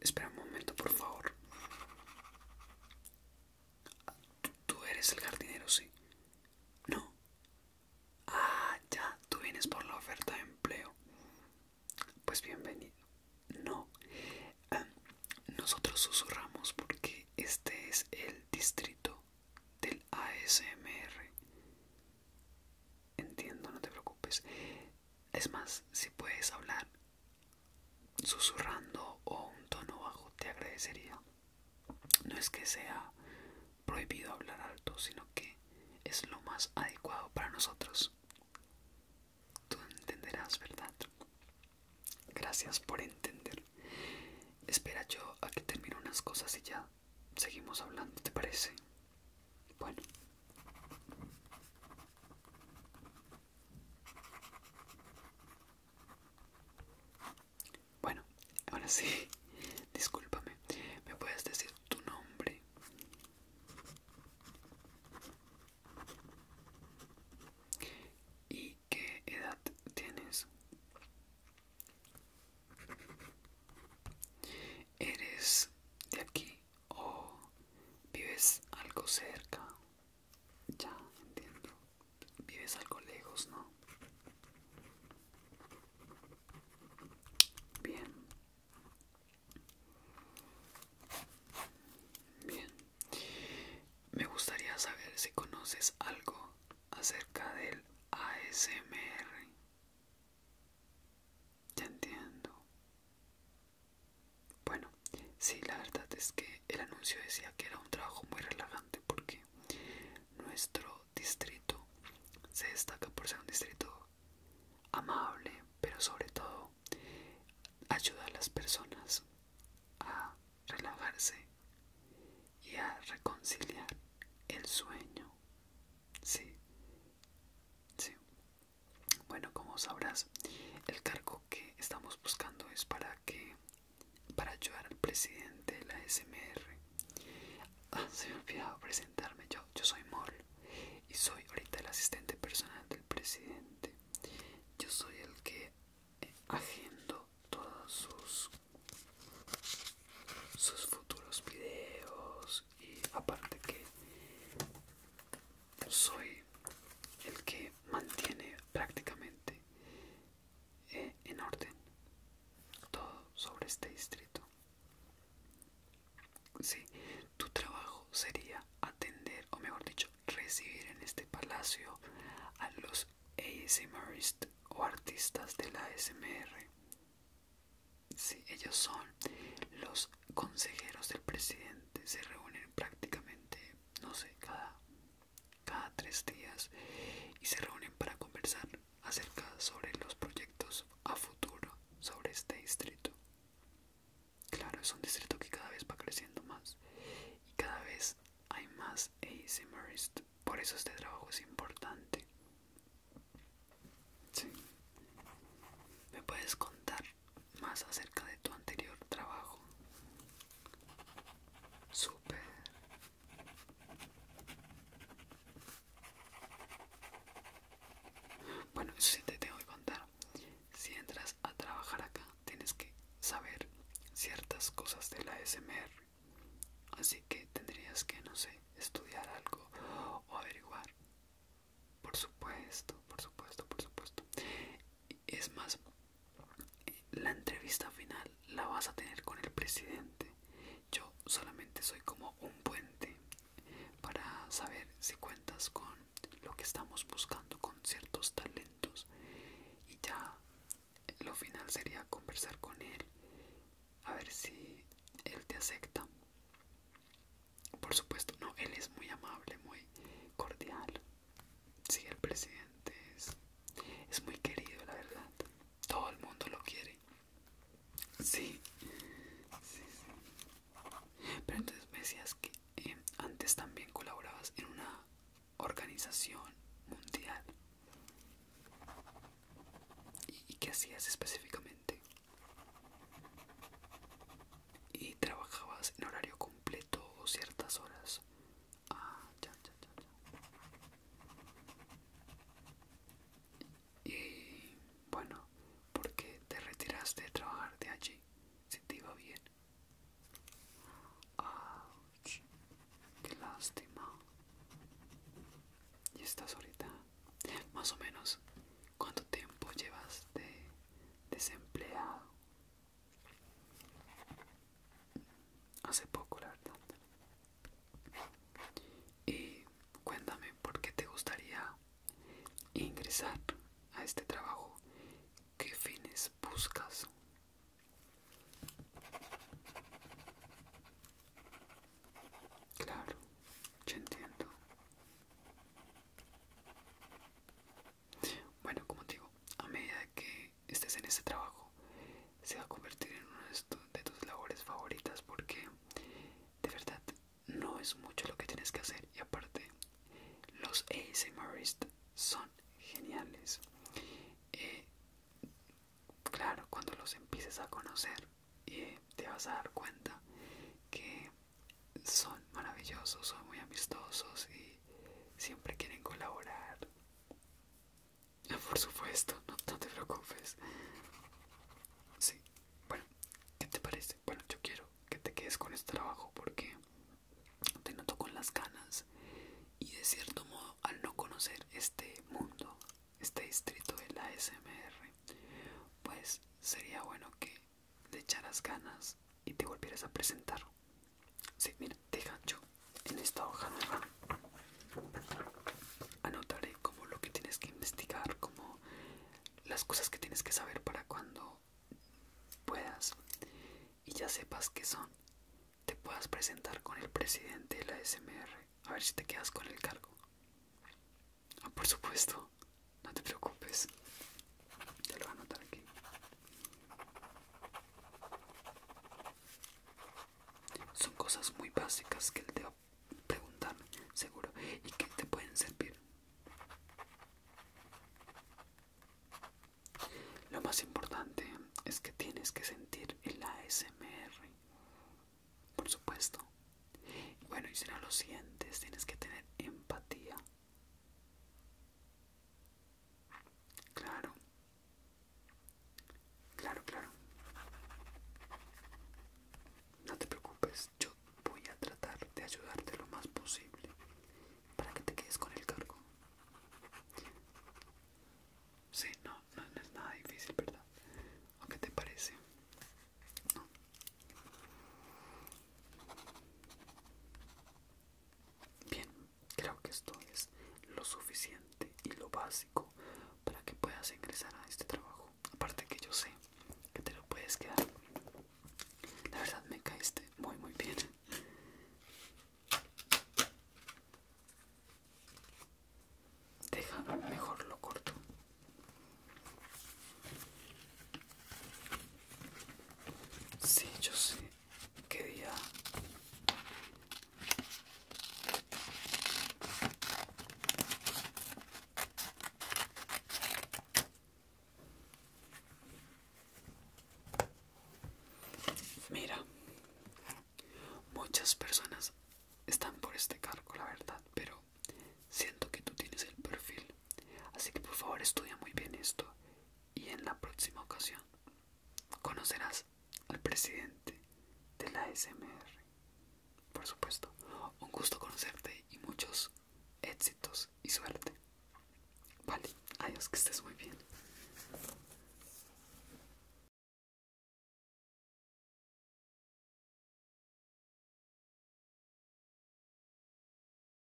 espera un momento, por favor. ¿Tú eres el jardinero, sí? No. Ah, ya, tú vienes por la oferta de empleo. Pues bienvenido. No, nosotros susurramos porque este es el distrito del ASMR. Entiendo, no te preocupes. Es más, si puedes hablar susurrando o un tono bajo, te agradecería. No es que sea prohibido hablar alto, sino que es lo más adecuado para nosotros. Tú entenderás, ¿verdad? Gracias por entender. Espera yo a que termine unas cosas y ya seguimos hablando, ¿te parece? Bueno. Bueno, ahora sí, discúlpame. ¿Me puedes decir tu nombre? ¿Y qué edad tienes? ¿Eres de aquí o vives algo cerca? Ya, entiendo. Vives algo lejos, ¿no? Bien. Bien. Me gustaría saber si conoces algo acerca del ASMR. Ya entiendo. Bueno, sí, la verdad es que el anuncio decía que era un trabajo muy relajante porque nuestro distrito se destaca por ser un distrito amable, pero sobre todo ayuda a las personas a relajarse y a reconciliar el sueño. Sí, sí. Bueno, como sabrás, el cargo que estamos buscando es para que para ayudar al presidente de la SMR. Ah, se me presentarme. Yo, yo soy Mor y soy ahorita el asistente personal del presidente. Yo soy el que eh, agendo todos sus, sus futuros videos y aparte que soy el que mantiene prácticamente eh, en orden todo sobre este distrito Sí, tu trabajo sería atender, o mejor dicho, recibir en este palacio a los ASMRists o artistas de la ASMR. Sí, ellos son los consejeros del presidente, se reúnen prácticamente, no sé, cada, cada tres días y se reúnen para conversar acerca sobre los proyectos a futuro sobre este distrito. Claro, es un distrito que cada vez va creciendo más y cada vez hay más Marist. Por eso este trabajo es importante. ¿Me puedes contar más acerca de tu anterior trabajo? Súper. Bueno, eso sí te tengo que contar. Si entras a trabajar acá, tienes que saber ciertas cosas de la SMR. Así que tendrías que, no sé, estudiar algo o averiguar. Por supuesto, por supuesto, por supuesto. Es más, la entrevista final la vas a tener con el presidente yo solamente soy como un puente para saber si cuentas con lo que estamos buscando, con ciertos talentos. Y ya lo final sería conversar con él, a ver si él te acepta. Por supuesto, no, él es muy amable, muy cordial. Sí, el presidente es, es muy querido, la verdad. Todo el mundo lo quiere. Sí, sí, sí. Pero entonces me decías que eh, antes también colaborabas en una organización mundial. ¿Y, qué hacías específicamente? ¿Y trabajabas en horario completo o ciertas horas? Ah, y bueno, ¿por qué te retiraste de trabajar de allí si te iba bien? ¡Qué lástima! ¿Y estás ahorita? Más o menos, ¿cuánto tiempo llevas de desempleado? Hace poco, la verdad. Y cuéntame por qué te gustaría ingresar a este trabajo. ¿Qué fines buscas? Claro, yo entiendo. Bueno, como te digo, a medida que estés en este trabajo, se va a convertir en uno de de tus labores favoritas porque de verdad no es mucho lo que tienes que hacer y aparte los ASMRists son geniales eh, claro cuando los empieces a conocer eh, te vas a dar cuenta que son maravillosos son muy amistosos y siempre quieren colaborar Ah, por supuesto, no, te preocupes. Sí, bueno, ¿qué te parece? Bueno, yo quiero que te quedes con este trabajo porque te noto con las ganas y de cierto modo al no conocer este mundo, este distrito de la SMR, pues sería bueno que le echaras ganas y te volvieras a presentar. Sí, mira, te gancho. En esta hoja nueva anotaré como lo que tienes que investigar, como las cosas que tienes que saber para cuando puedas y ya sepas qué son, te puedas presentar con el presidente de la SMR. A ver si te quedas con el cargo. Ah, por supuesto, no te preocupes. Te lo voy a anotar aquí. Son cosas muy básicas que él te va a preguntar, seguro, y que te pueden servir. Lo más importante es que tienes que sentir el ASMR, por supuesto. Bueno, y si no lo sientes, tienes que tener empatía. Claro, Claro, claro. No te preocupes, yo voy a tratar de ayudarte lo más posible para que te quedes con el cargo. Sí, no, no, es nada difícil, ¿verdad? ¿O qué te parece? Bien, creo que esto es lo suficiente y lo básico para que puedas ingresar a este trabajo. Aparte que yo sé que te lo puedes quedar. La verdad me caíste muy muy bien. Deja, mejor lo corto. Sí, yo sé, ¿Qué día? Mira, muchas personas están por este cargo, la verdad, pero siento que tú tienes el perfil. Así que por favor estudia muy bien esto y en la próxima ocasión conocerás al presidente de la SMR. Por supuesto, un gusto conocerte y muchos éxitos y suerte. Vale, adiós, que estés muy bien.